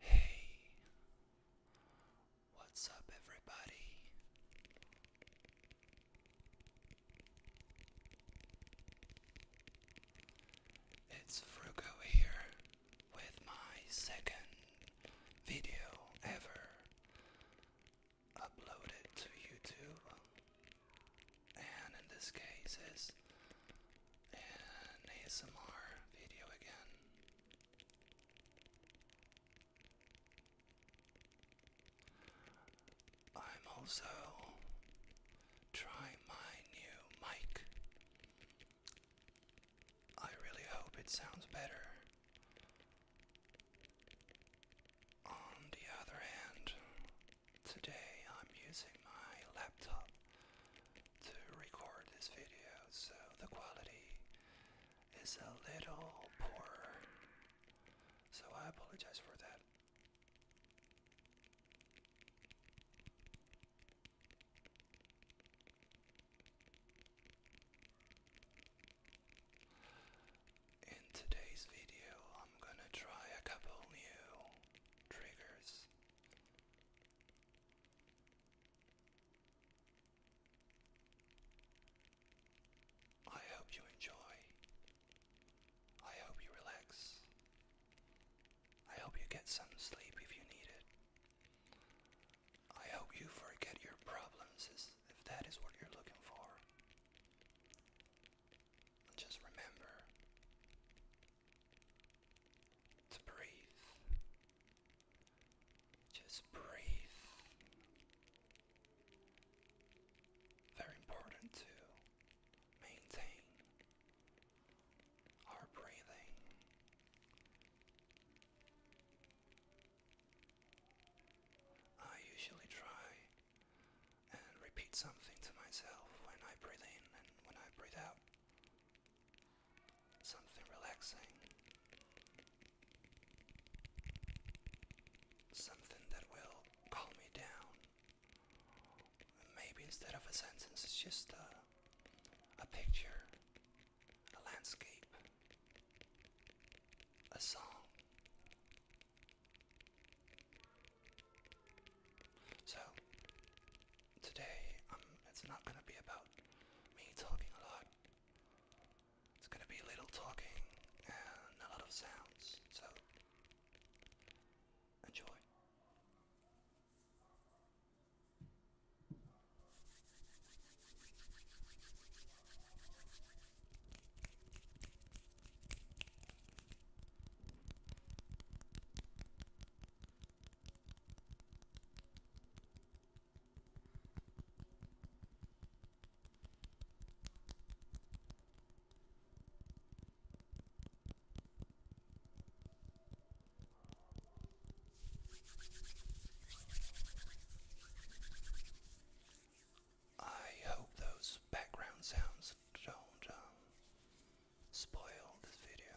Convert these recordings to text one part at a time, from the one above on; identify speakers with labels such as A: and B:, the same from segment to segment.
A: Hey, what's up, everybody? It's Frugo here with my second video ever uploaded to YouTube and in this case is an ASMR video again. I'm also trying my new mic. I really hope it sounds better. On the other hand, Today I'm using my laptop to record this video, so the quality is a little poor. So I apologize for that. In today's video, I'm gonna try a couple new triggers. I hope you enjoy. I hope you relax. I hope you get some sleep if you need it. I hope you forget your problems if that is what you're looking for. just remember to breathe. Just breathe. Very important to maintain our breathing. I usually try and repeat something to myself when I breathe in and when I breathe out. Something relaxing. Something that will calm me down. Maybe instead of a sentence, it's just a, a picture, a landscape, a song. So, today, um, it's not going to be about me talking a lot. It's going to be little talking and a lot of sounds. So, enjoy. I hope those background sounds don't um, spoil this video.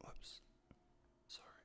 A: Whoops. Sorry.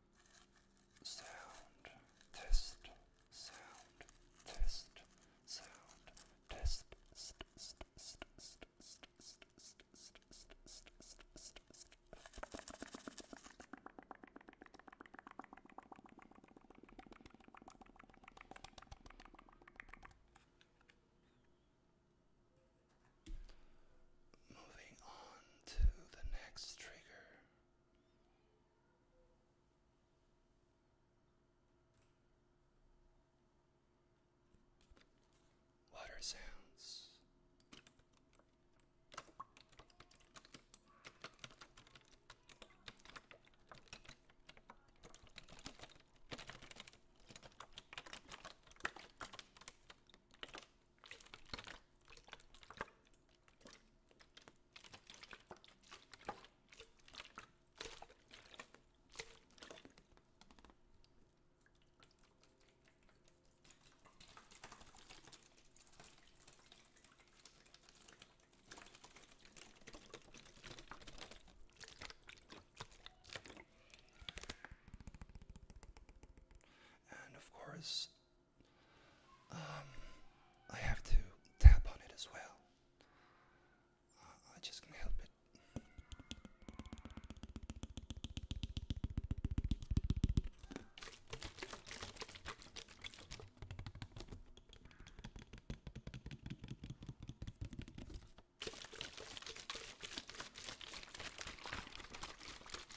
A: sound test sound test sound test Moving on to the next trigger. Water sounds. And of course, um, I have to tap on it as well. Uh, I just can't help it.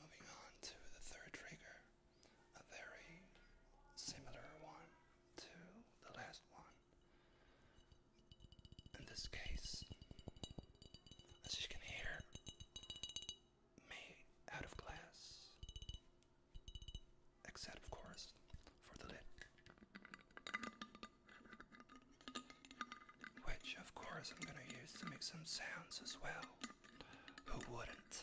A: Moving on to the third trigger, a very similar one to the last one in this case, as you can hear, me out of class, except of course for the lid, which of course I'm gonna use to make some sounds as well. Who wouldn't?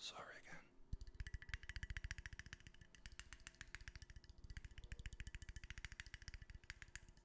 A: Sorry again.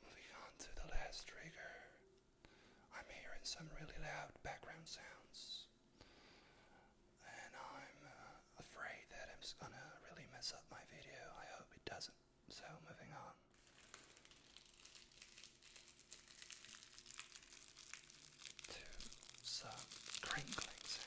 A: Moving on to the last trigger. I'm hearing some really loud background sounds, and I'm uh, afraid that I'm gonna really mess up my video. I hope it doesn't. So, moving on to some crinkling sounds.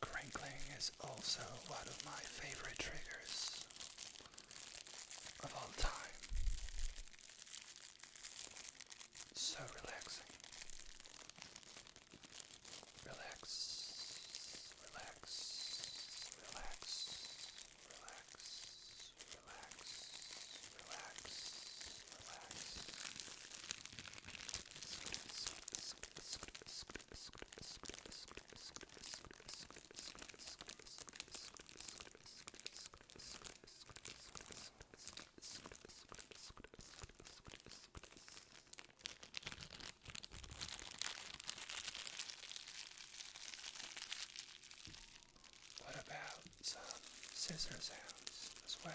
A: Crinkling is also one of my favorite triggers of all time. So relaxing. Relax, relax, relax, relax, relax, relax, relax. What about some scissor sounds as well?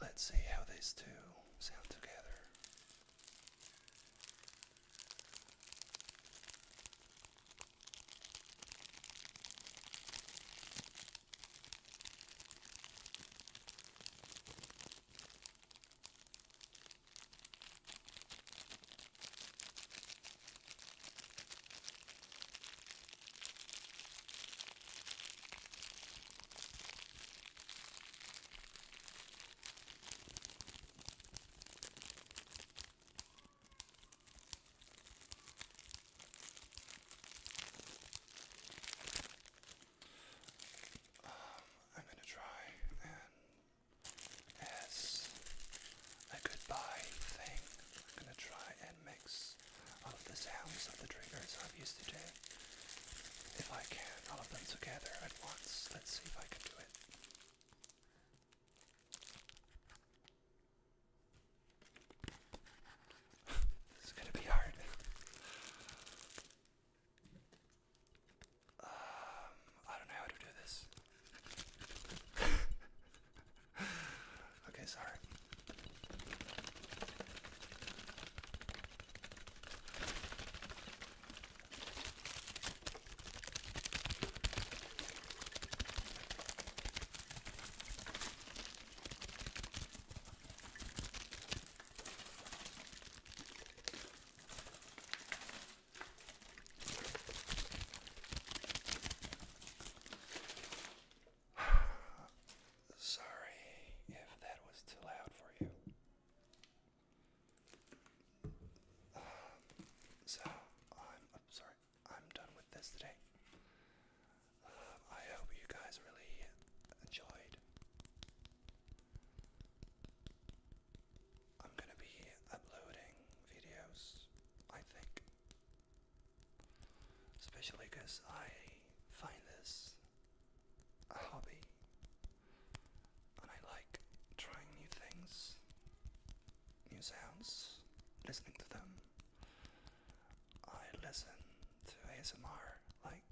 A: Let's see how these two sound together. Um, I'm gonna try and as a goodbye thing. I'm gonna try and mix all of the sounds of the triggers I've used today. If I can, all of them together at once. Let's see if I can do it. this is gonna be hard. Um, I don't know how to do this. okay, sorry. Sorry if that was too loud for you. so I'm, sorry. I'm done with this today. I hope you guys really enjoyed. I'm gonna be uploading videos, I think. Especially because I find this a hobby and I like trying new things, new sounds, listening to them. I listen to ASMR like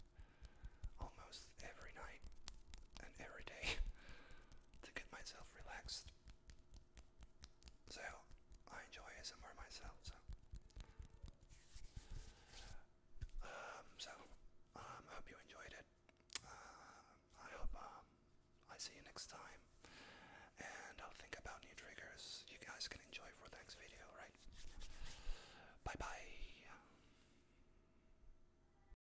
A: almost every night and every day. to get myself relaxed. So I enjoy ASMR myself. So, um, so um, hope you enjoyed it. Uh, I hope um, I see you next time, and I'll think about new triggers you guys can enjoy for the next video. Right? Bye bye.